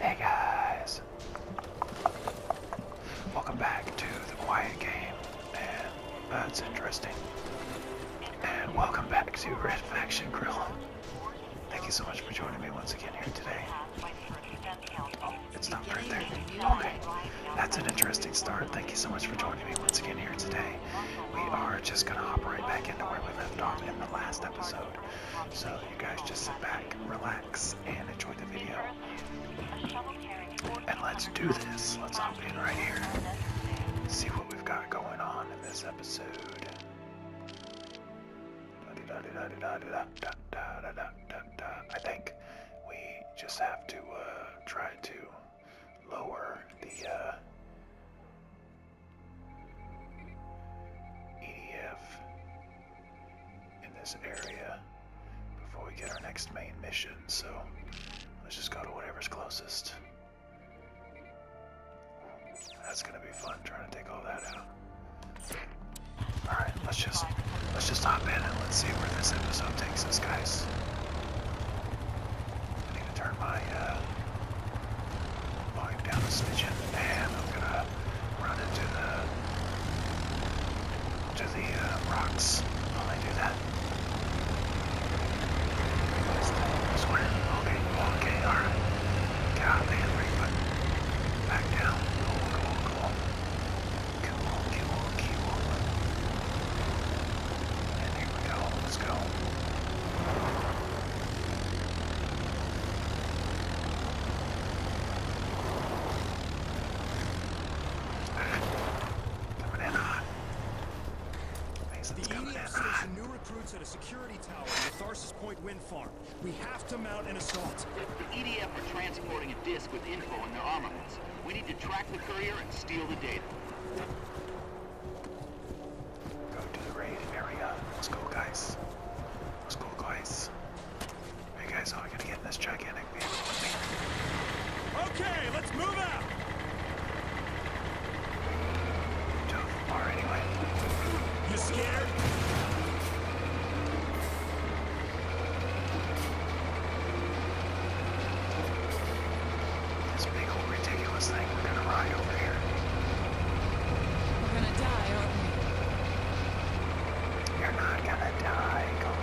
Hey guys! Welcome back to the Quiet Game, that's interesting. And welcome back to Red Faction Grill. Thank you so much for joining me once again here today. Oh, it's not right there. Okay, that's an interesting start. Thank you so much for joining me once again here today. We are just gonna hop right back into where we left off in the last episode. So you guys just sit back, relax, and enjoy the video. And let's do this. Let's hop in right here. See what we've got going on in this episode. I think we just have to uh, try to lower the uh, EDF in this area before we get our next main mission, so let's just go to whatever's closest. That's gonna be fun trying to take all that out. Alright, let's just let's just hop in and let's see where this episode takes us guys. I need to turn my uh, Going down the snitch in the dam, I'm gonna run into the to the uh, rocks while I do that. Square. Okay, okay, alright. Get out of the hand ring, but back down. Cool, cool, cool. Cool, cool, cool. And here we go, let's go. Coming in hot. the coming in new recruits at a security tower in the Tharsis Point wind farm. We have to mount an assault. the EDF are transporting a disc with info in their armaments. We need to track the courier and steal the data. Go to the raid area. Let's go, guys. Let's go, guys. Hey, guys, oh, we going to get in this gigantic vehicle with me. Okay, let's move out! To the anyway. You scared? This big old ridiculous thing we're gonna ride over here. We're gonna die, aren't we? are going to die you are not going to die, calm down.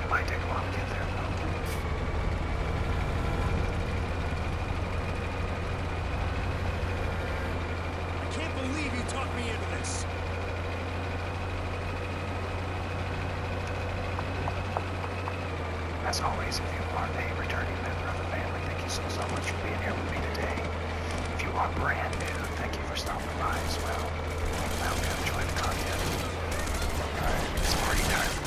It might take get there I can't believe you talked me into this. As always, if you are a returning member of the family, thank you so, much for being here with me today. If you are brand new, thank you for stopping by as well. Welcome, join the contest. it's party time.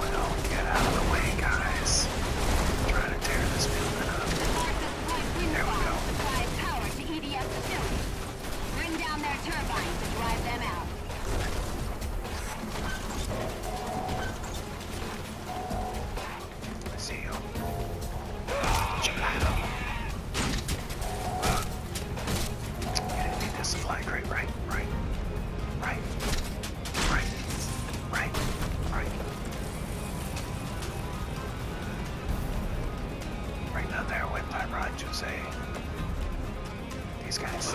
Well, get out of the way, guys. Try to tear this building up. There we go. Power to EDF facility. Bring down their turbines and drive them out. I see you. Gelato. You didn't need this flag, right? Right, right, right. Right. Right. Right. Right down there with my rod, Jose. These guys.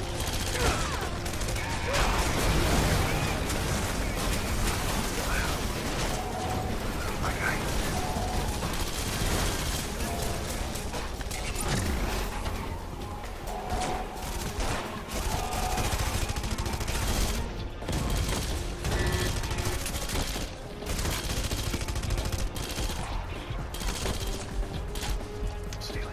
Stealing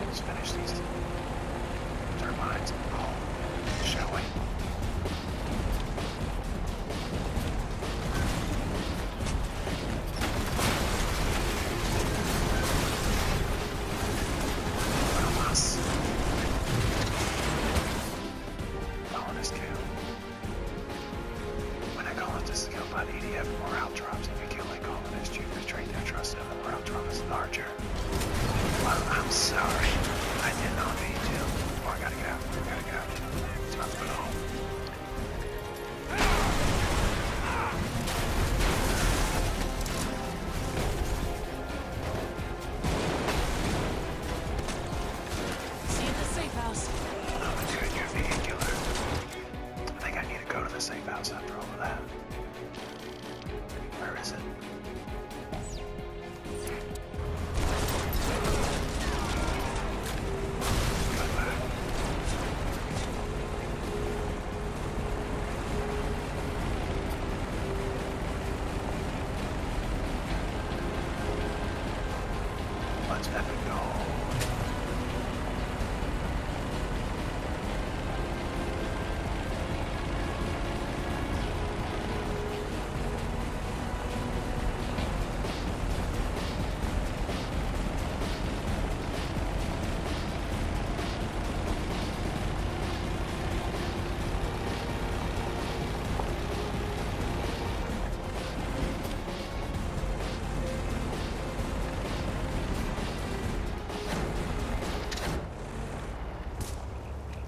Let's finish these turbines all, shall we? Bonus. Bonus count. When a colonist is killed by the EDF, morale drops. If you kill a colonist, you betray their trust and the morale drop is larger. Well, I'm sorry. I did not mean to. Oh, I gotta get out. I gotta get out. It's about to go home. See you at the safe house. I'm doing your vehicular. I think I need to go to the safe house after all of that. Where is it? Let's epic go.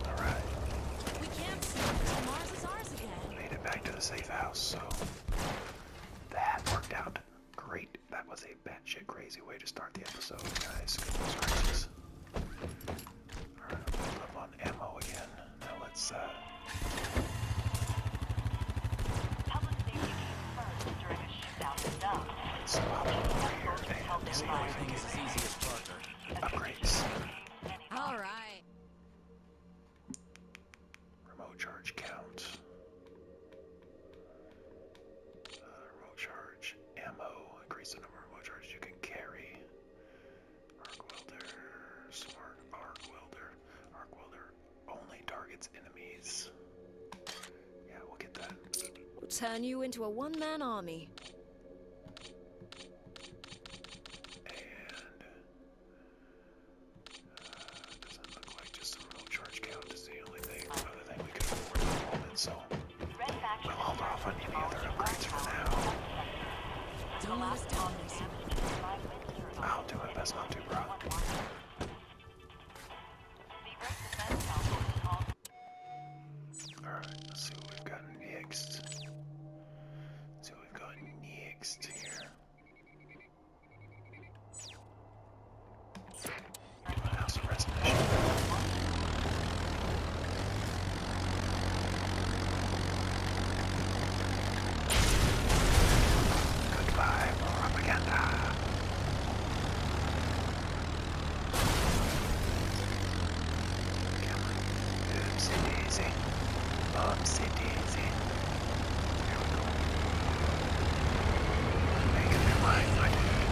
All right. We Made it back to the safe house, so that worked out great. That was a batshit crazy way to start the episode, guys. Alright, i up on ammo again. Now let's uh so I'll over here and see if we can get any upgrades. All right. Remote charge count. Uh, remote charge ammo. Increase the number of remote charges you can carry. Arc welder. Smart arc welder. Arc welder only targets enemies. Yeah, we'll get that. We'll turn you into a one-man army. And uh, doesn't look like just a real charge count is the only thing, other thing we can afford So we'll hold off on any other upgrades for now. I'll do my best not to, bro. Alright, let's see what we've got next. see what we've got next here. House arrest Goodbye, propaganda. Oopsie daisy. Oopsie daisy. Here we go. Making their mind my dude.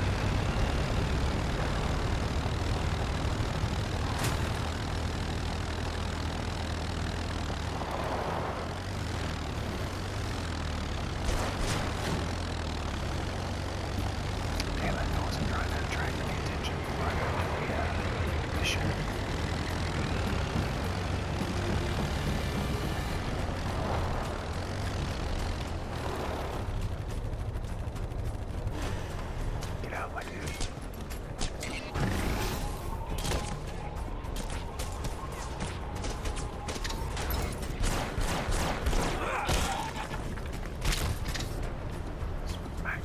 Damn it, I wasn't trying to attract any attention before I got to the, uh, the shirt. Get out, my dude. Back.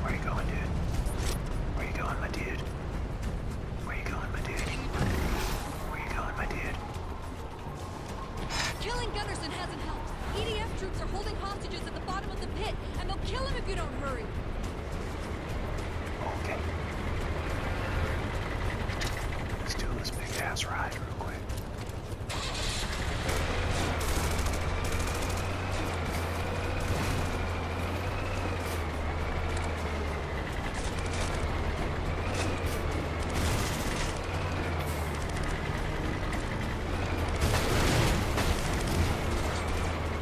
Where are you going, dude? Where you going, my dude? Where are you going, my dude? Where you going, my dude? Killing Gunnerson hasn't helped. EDF troops are holding hostages at the bottom of the pit, and they'll kill him if you don't hurry. Okay. Let's do this big ass ride real quick.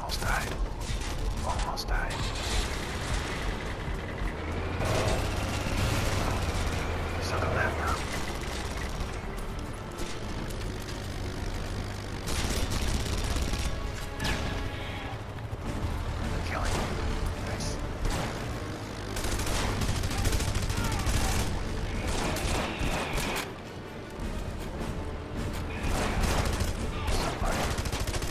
Almost died. Almost died. Some of that now. They're killing him. Nice. Somebody.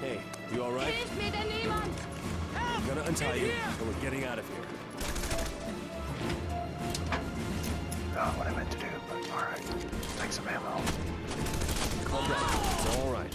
Hey, you all right? I'm gonna untie you, and we're getting out of here. Not what I meant to do, but all right. Take some ammo. Calm down. all right.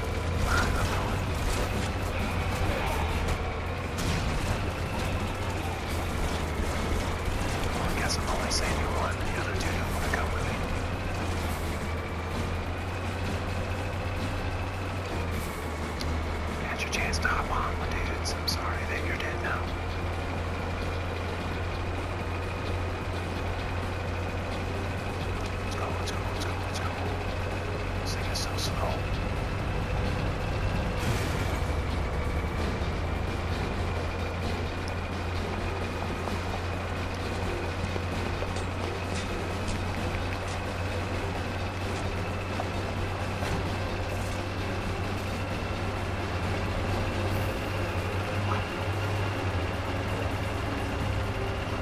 I guess I'm only saving one. The other two don't want to come with me. You had your chance to hop on with dudes. I'm sorry that you're dead now. go, let they just so slow.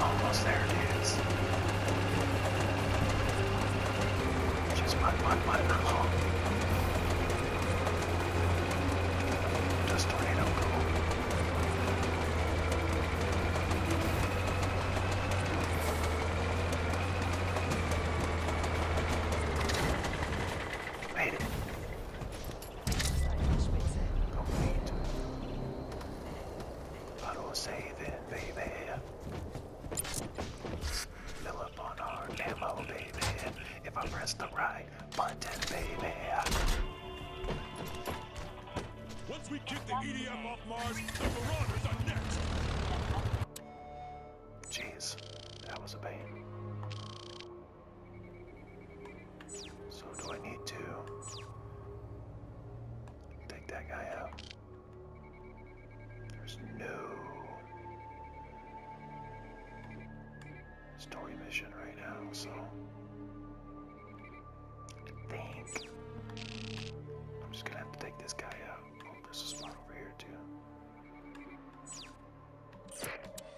Almost there it is. Just mud, mud, Just tornado roll. Made it. Complete. Auto save baby. Fill up on our ammo, baby. If I press the right button, baby. Once we kick the EDM off Mars, the Marauders are next. Jeez, that was a pain. So do I need to take that guy out? There's no story mission right now, so I think I'm just gonna have to take this guy out. Oh, there's a spot over here too.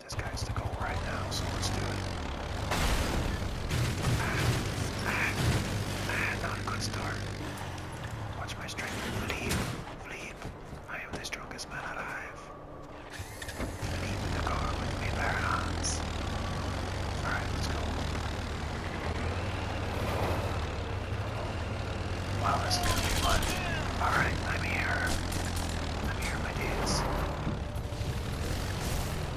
This guy's the goal right now, so let's do it. not a good start. Watch my strength. Leap, leap. I am the strongest man alive. Leap the car with me, Barons. Alright, let's go. Wow, this is fun. Alright, I'm here. I'm here, my dudes.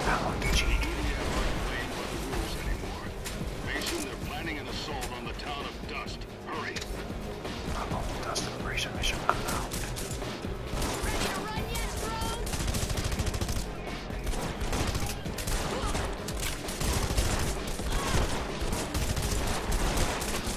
How long did you need? Mason, they're planning an assault on the town of Dust. Hurry. How long will Dust Operation Mission come out? Ready to run yet, bro?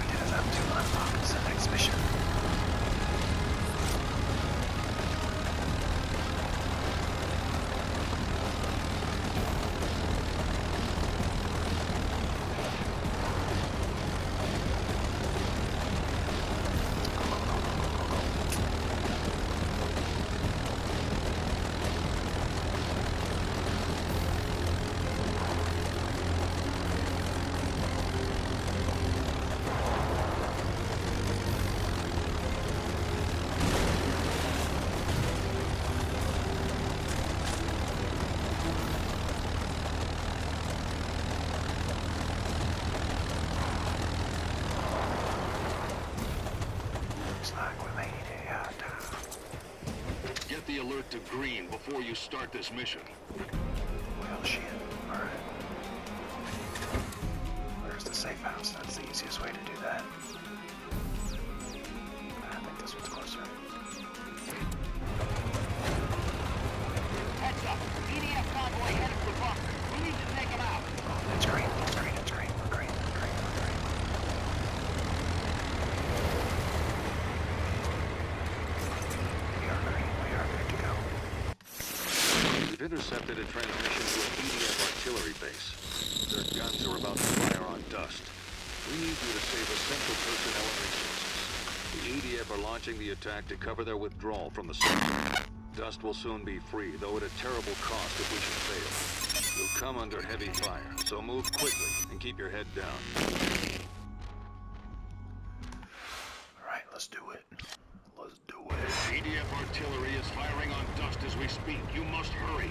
we get it up to unlock the next mission. Uh, Get the alert to green before you start this mission. Where's the safe house? That's the easiest way to do that. I think this one's closer. Heads up! EDF convoy headed for bunker. We need to take him out. that's oh, great. That's great. That's great. we great. we great. We are green. We are good to go. We've intercepted a transmission to an EDF artillery base. Their guns are about to fire on dust. We need you to save essential personnel and resources. The EDF are launching the attack to cover their withdrawal from the sector. Dust will soon be free, though at a terrible cost if we should fail. You'll come under heavy fire, so move quickly and keep your head down. Alright, let's do it. Let's do it. ADF artillery is firing on dust as we speak. You must hurry.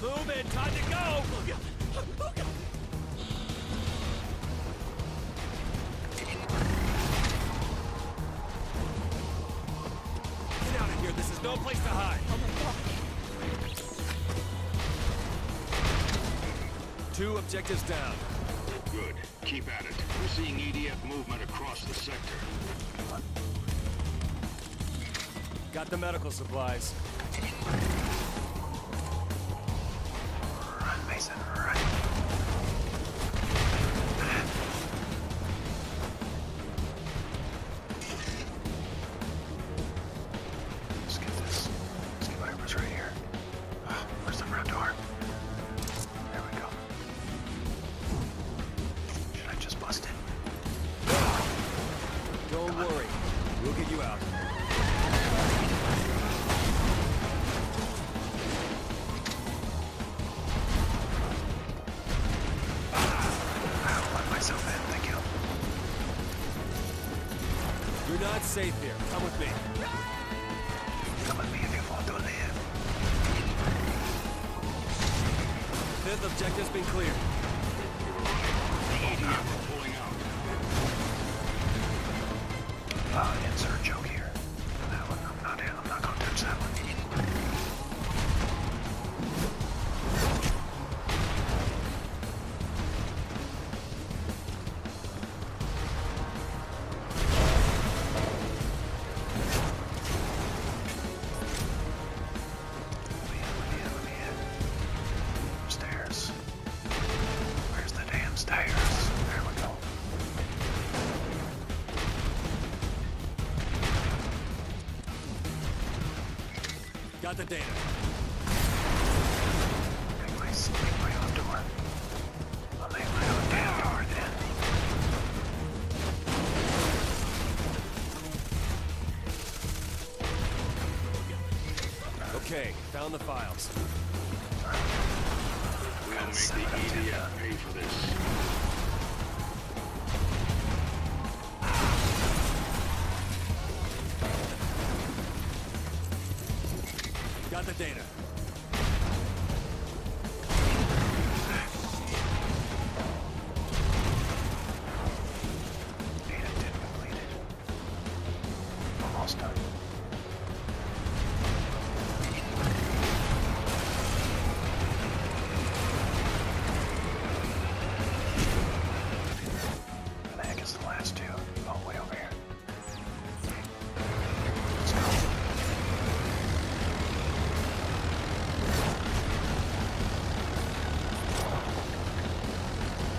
Move it! Time to go! Get out of here! This is no place to hide! Oh my god! Two objectives down. Good. Keep at it. We're seeing EDF movement across the sector. Got the medical supplies. Run, Mason, run. Let's get this. Let's get whatever's right here. Ah, where's the front door? There we go. Should I just bust it? Don't worry. We'll get you out. You're not safe here. Come with me. Come with me if you want to live. Fifth objective's been cleared. Uh, insert joke here. That one, I'm not, I'm not gonna touch that one. Let me in, let me in, let me in. Stairs. Where's the damn stairs? There we go. Got the data. Make my, make my own door. I'll make my own damn door then. Okay, found the files. We'll make the EDF pay for this. Got the data. Data completed. Almost done. Where the heck is the last two? Oh, way over here. Let's go.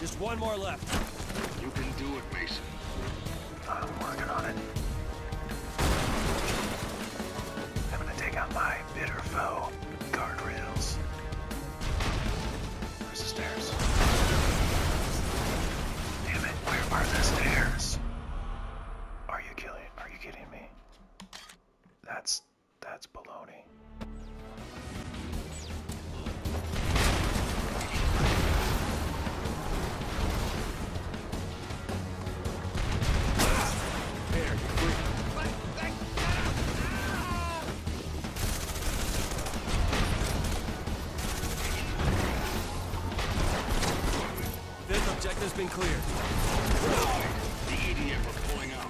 Just one more left. You can do it, Mason. I'm working on it. I'm gonna take out my bitter foe, guardrails. Where's the stairs? Damn it, where are the stairs? Are you killing? Are you kidding me? That's that's baloney. This objective's been cleared. The idiot was pulling out.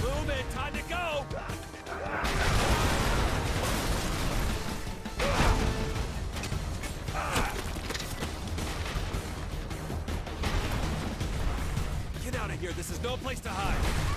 Boom time to go! Get out of here, this is no place to hide!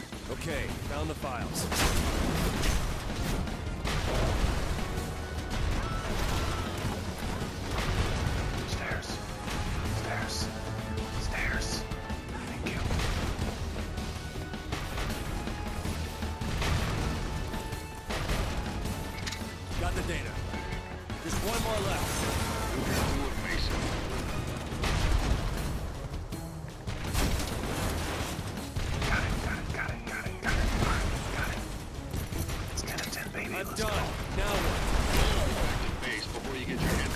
Okay, found the files. Stairs. Stairs. Stairs. Thank you. Got the data. Just one more left. Mason. I'm done. Now what? The base before you get your head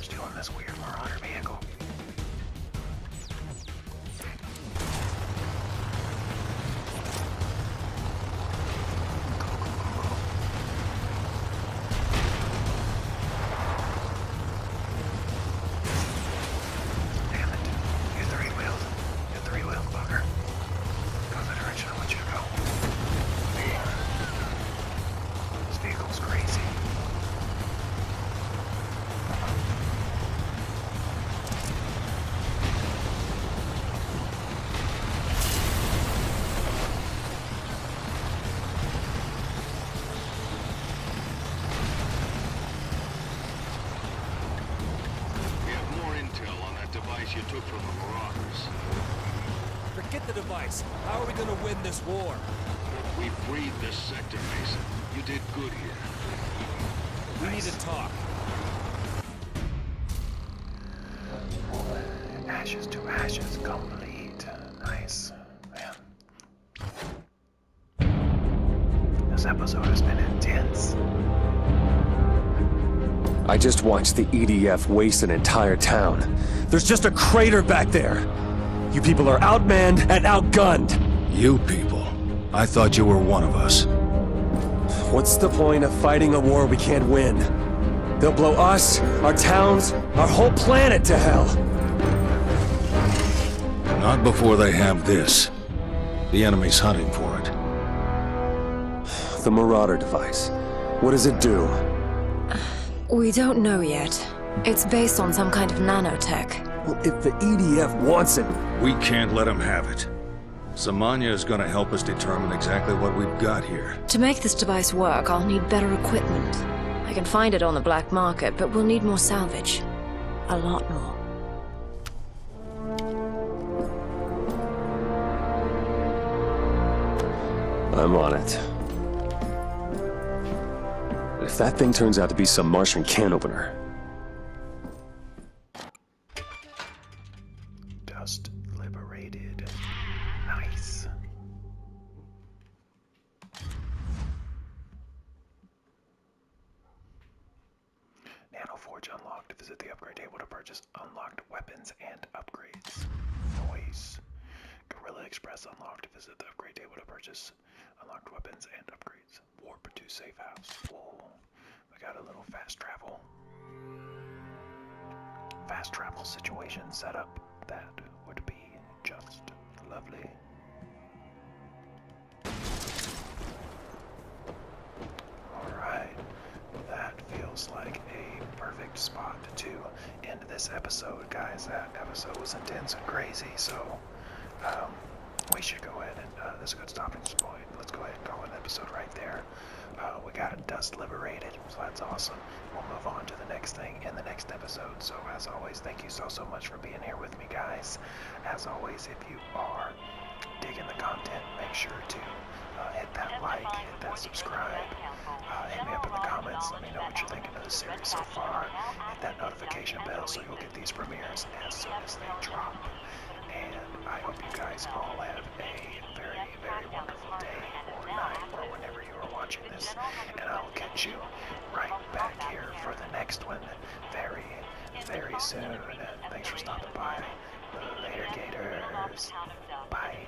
Stealing this weird Marauder vehicle. Damn it. You three wheeled. You three wheeled bugger. Go the direction I want you to go. This vehicle's crazy. We have more intel on that device you took from the Marauders. Forget the device. How are we going to win this? war. We freed this sector, Mason. You did good here. We need to talk. Ashes to ashes, complete. Nice. Man. This episode has been intense. I just watched the EDF waste an entire town. There's just a crater back there. You people are outmanned and outgunned. You people? I thought you were one of us. What's the point of fighting a war we can't win? They'll blow us, our towns, our whole planet to hell. Not before they have this. The enemy's hunting for it. The Marauder device. What does it do? We don't know yet. It's based on some kind of nanotech. Well, if the EDF wants it... We can't let them have it. Samanya is going to help us determine exactly what we've got here. To make this device work, I'll need better equipment. I can find it on the black market, but we'll need more salvage. A lot more. I'm on it. If that thing turns out to be some Martian can opener... Dust liberated. Nice. Nano Forge unlocked. Visit the upgrade table to purchase unlocked weapons and upgrades. Noise. Guerrilla Express unlocked. Visit the upgrade table to purchase unlocked weapons and upgrades. Warp to safe house. Whoa. We got a little fast travel. Fast travel situation set up. That would be just lovely. Alright, that feels like a perfect spot to end this episode, guys. That episode was intense and crazy, so um, we should go ahead and uh, this is a good stopping point. Let's go ahead and call an episode right there. Uh, we got Dust liberated, so that's awesome. We'll move on to the next thing in the next episode. So as always, thank you so so much for being here with me, guys. As always, if you are digging the content, make sure to uh, hit that like, hit that subscribe. Uh, hit me up in the comments. Let me know what you think of the series so far. Hit that notification bell so you'll get these premieres as soon as they drop. And I hope you guys all have a very, very wonderful day or night or whenever you are watching this. And I'll catch you right back here for the next one very, very soon. Thanks for stopping by. Later, Gators. Bye.